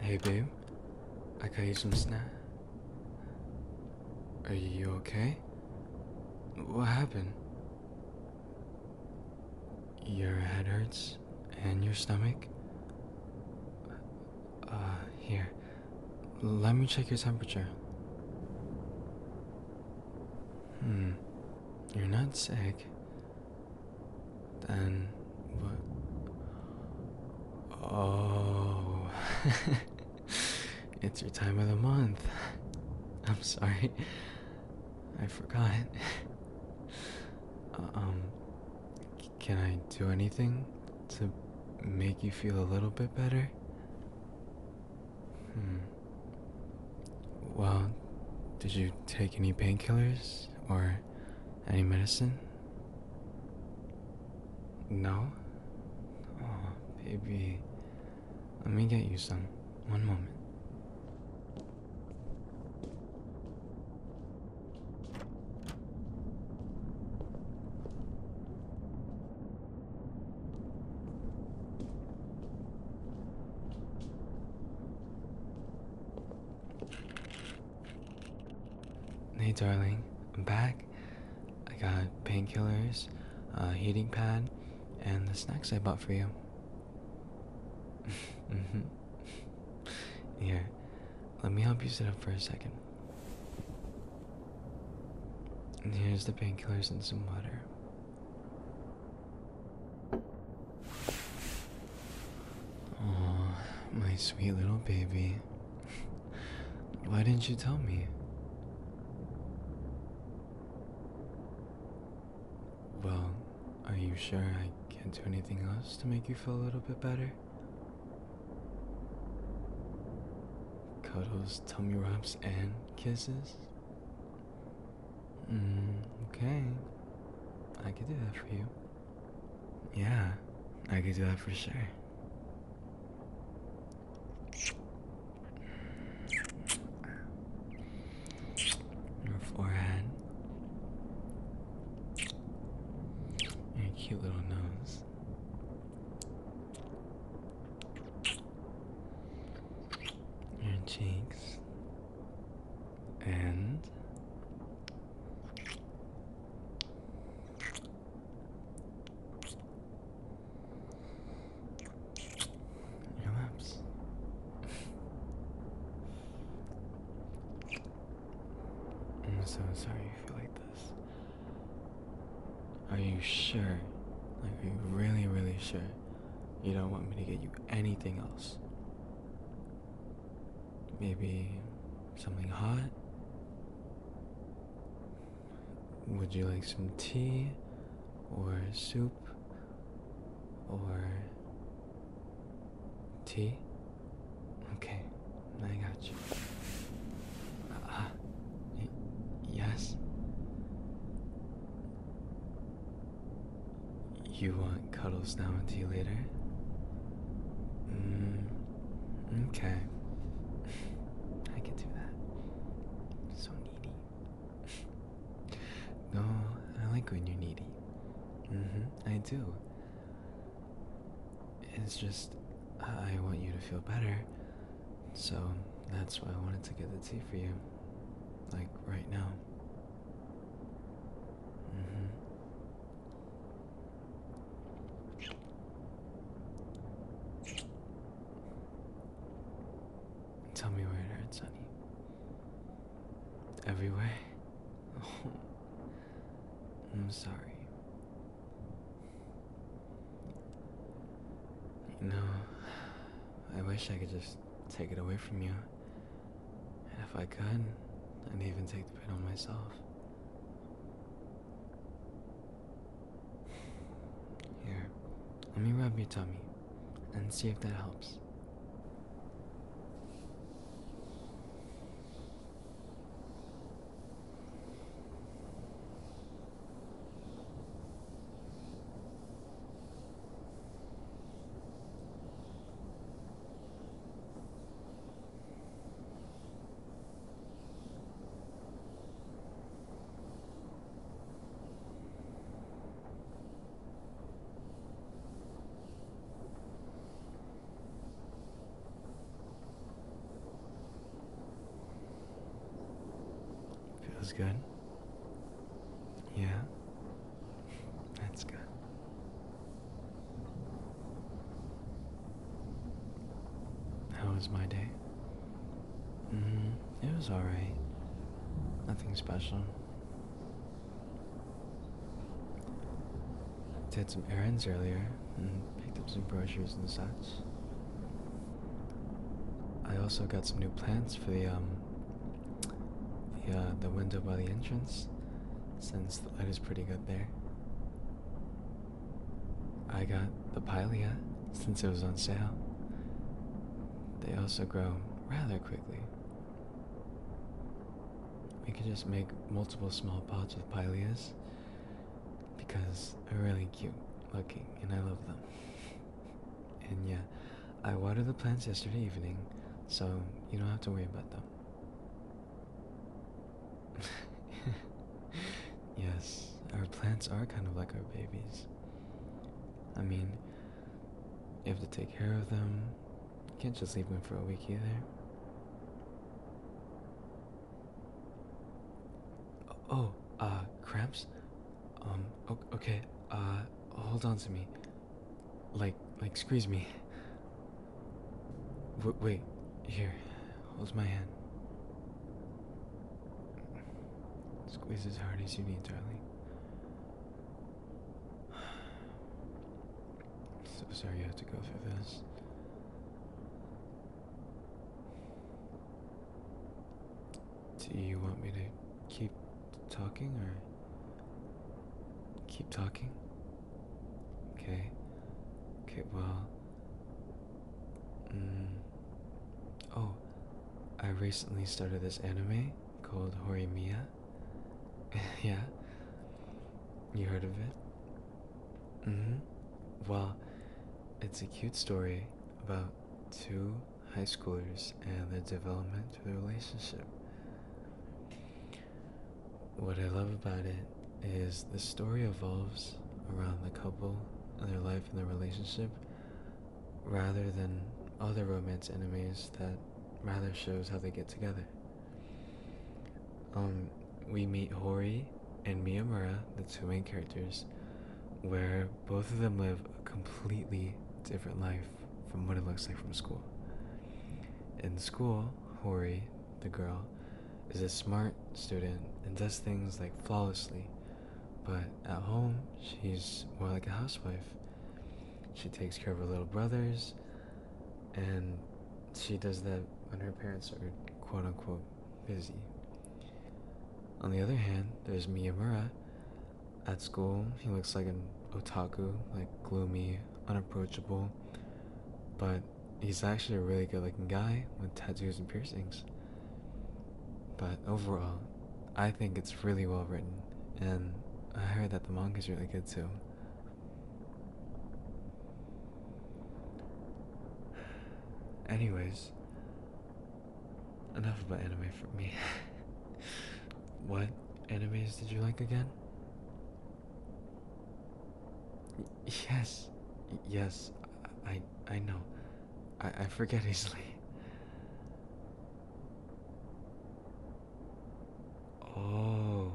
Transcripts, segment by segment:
Hey Boom. I got you some snack. Are you okay? What happened? Your head hurts and your stomach? Uh, here. Let me check your temperature. Hmm you're not sick, then what? Oh, it's your time of the month. I'm sorry, I forgot. Uh, um, can I do anything to make you feel a little bit better? Hmm. Well, did you take any painkillers or any medicine? No? Oh, baby. Let me get you some. One moment. Hey, darling, I'm back. I got painkillers, a heating pad, and the snacks I bought for you. Here, let me help you sit up for a second. And here's the painkillers and some water. Oh, my sweet little baby. Why didn't you tell me? Well, are you sure I can't do anything else to make you feel a little bit better? Cuddles, tummy rubs, and kisses? Mm, okay. I could do that for you. Yeah, I could do that for sure. Your forehead. Your cute little nose your cheeks and your lips. I'm so sorry you feel like this. Are you sure? Like, are you really, really sure you don't want me to get you anything else. Maybe something hot? Would you like some tea or soup or tea? Okay, I got you. Uh, uh yes? You want cuddles now and tea later? Mm, okay. I can do that. So needy. no, I like when you're needy. Mm-hmm, I do. It's just, I want you to feel better, so that's why I wanted to get the tea for you. Like right now. Mm -hmm. Tell me where it hurts, honey. Everywhere? Oh. I'm sorry. No. I wish I could just take it away from you. And if I could, I'd even take the pain on myself. Here, let me rub your tummy and see if that helps. Feels good. Yeah? That's good. How was my day? Mm-hmm. it was alright. Nothing special. I Did some errands earlier and picked up some brochures and such. I also got some new plants for the um, the uh, the window by the entrance, since the light is pretty good there. I got the pilea since it was on sale. They also grow rather quickly. We could just make multiple small pots with pileas because they're really cute looking and I love them. and yeah, I watered the plants yesterday evening, so you don't have to worry about them. yes, our plants are kind of like our babies. I mean, you have to take care of them. You can't just leave them for a week either. Oh, uh, cramps? Um, okay, uh, hold on to me. Like, like, squeeze me. W wait, here, Holds my hand. Squeeze as hard as you need, darling. So sorry you have to go through this. Do you want me to keep talking or keep talking? Okay. Okay, well. Mm. Oh, I recently started this anime called Hori Mia. yeah. You heard of it? Mm hmm. Well, it's a cute story about two high schoolers and their development through the relationship. What I love about it is the story evolves around the couple and their life and their relationship rather than other romance enemies that rather shows how they get together. Um, we meet Hori and Miyamura, the two main characters, where both of them live a completely different life from what it looks like from school. In school, Hori, the girl, is a smart student and does things like flawlessly, but at home, she's more like a housewife. She takes care of her little brothers, and she does that when her parents are quote unquote busy. On the other hand, there's Miyamura. At school, he looks like an otaku, like gloomy, unapproachable, but he's actually a really good looking guy with tattoos and piercings. But overall, I think it's really well written, and I heard that the manga is really good too. Anyways, Enough about anime for me. what animes did you like again? Yes, yes, I I know. I I forget easily. Oh.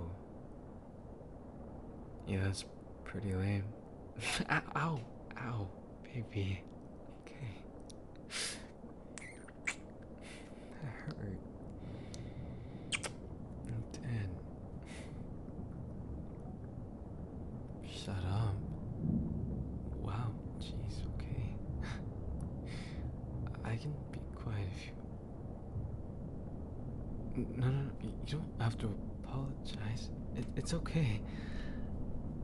Yeah, that's pretty lame. ow, ow, baby. Okay. That hurt. It Shut up. Wow, jeez, okay. I can be quiet if you. No, no, no, you don't have to apologize. it's okay.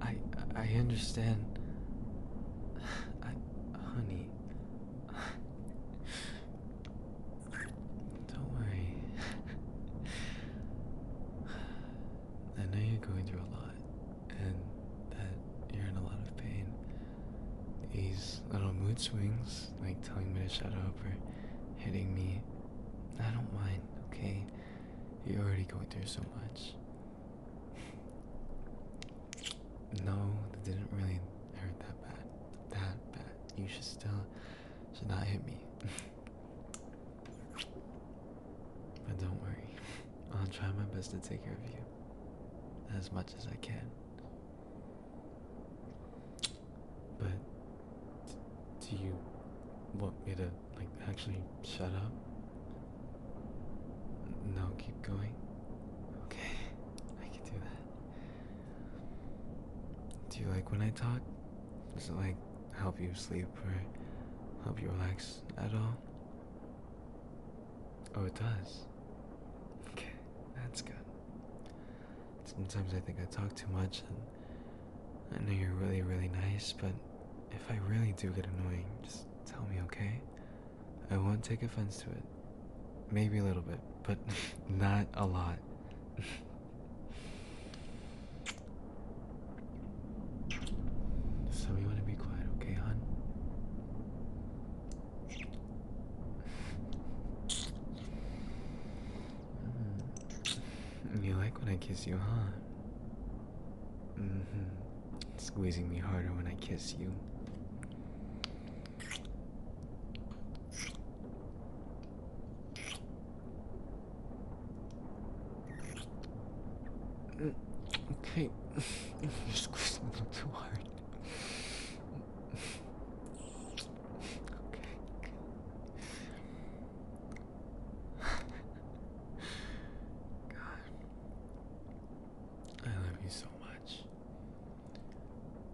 I I understand. honey. Don't worry. I know you're going through a lot, and that you're in a lot of pain. These little mood swings, like telling me to shut up or hitting me, I don't mind, okay? You're already going through so much. No, that didn't really hurt that bad. That bad. You should still should not hit me. but don't worry. I'll try my best to take care of you. As much as I can. But do you want me to, like, actually shut up? No, keep going. Okay, I can do that. Do you like when I talk? Does it, like, help you sleep or help you relax at all? Oh, it does. Okay, that's good. Sometimes I think I talk too much and I know you're really, really nice, but if I really do get annoying, just tell me, okay? I won't take offense to it. Maybe a little bit, but not a lot. so we want to be quiet, okay, hon? Mm. You like when I kiss you, huh? Mm-hmm. Squeezing me harder when I kiss you. Okay, you're squeezing a little too hard. Okay. God. I love you so much.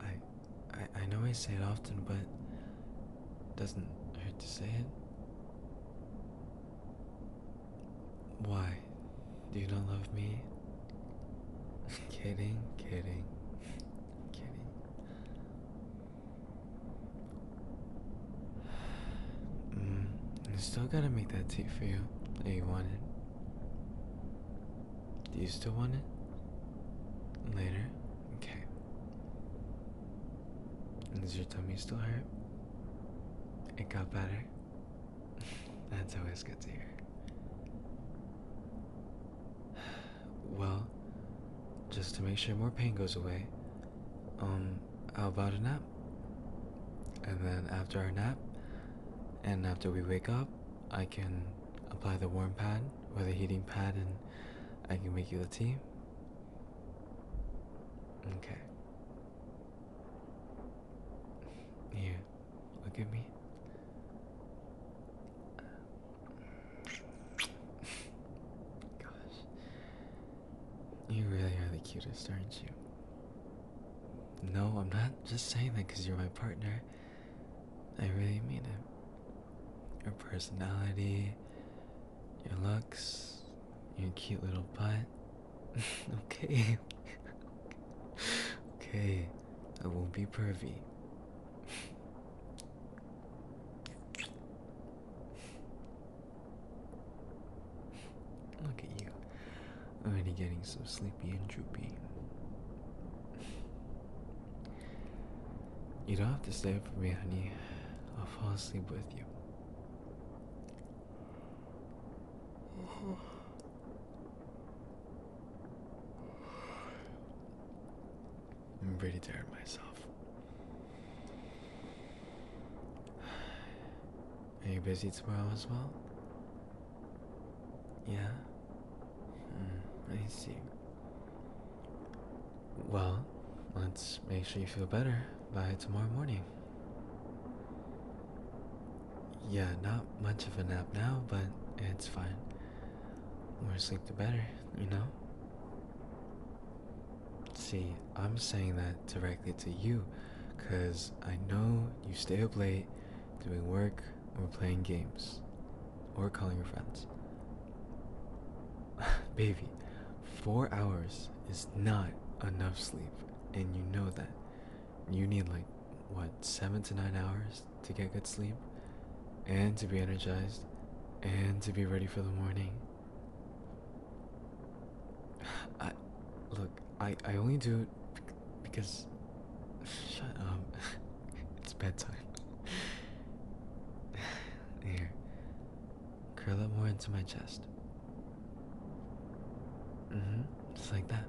I, I I know I say it often, but it doesn't hurt to say it. Why? Do you not love me? kidding, kidding, kidding. Mm, I still gotta make that tape for you. Do you wanted. Do you still want it? Later? Okay. Is your tummy still hurt? It got better? That's always good to hear. Well, just to make sure more pain goes away, um, how about a nap? And then after our nap, and after we wake up, I can apply the warm pad or the heating pad and I can make you a tea. Okay. Here, look at me. Gosh. You really are the cutest, aren't you? No, I'm not just saying that because you're my partner. I really mean it. Your personality, your looks, your cute little butt. okay. okay. I won't be pervy. Look at you. Already getting so sleepy and droopy. You don't have to stay up for me, honey. I'll fall asleep with you. I'm pretty tired myself. Are you busy tomorrow as well? Yeah? Mm, I see. Well, let's make sure you feel better by tomorrow morning. Yeah, not much of a nap now, but it's fine. More sleep the better, you know? See, I'm saying that directly to you because I know you stay up late doing work or playing games or calling your friends. Baby, four hours is not enough sleep, and you know that. You need like what seven to nine hours to get good sleep and to be energized and to be ready for the morning. I look, I I only do it because shut up. it's bedtime. Here. Curl it more into my chest. Mm-hmm. Just like that.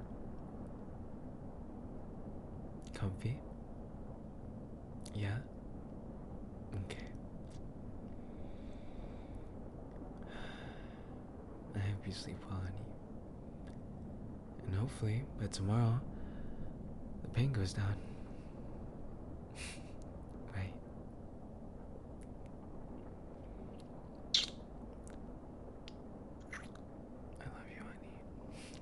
Comfy? Yeah? Okay. I hope you sleep well, honey. And hopefully, by tomorrow, the pain goes down. right? I love you, honey.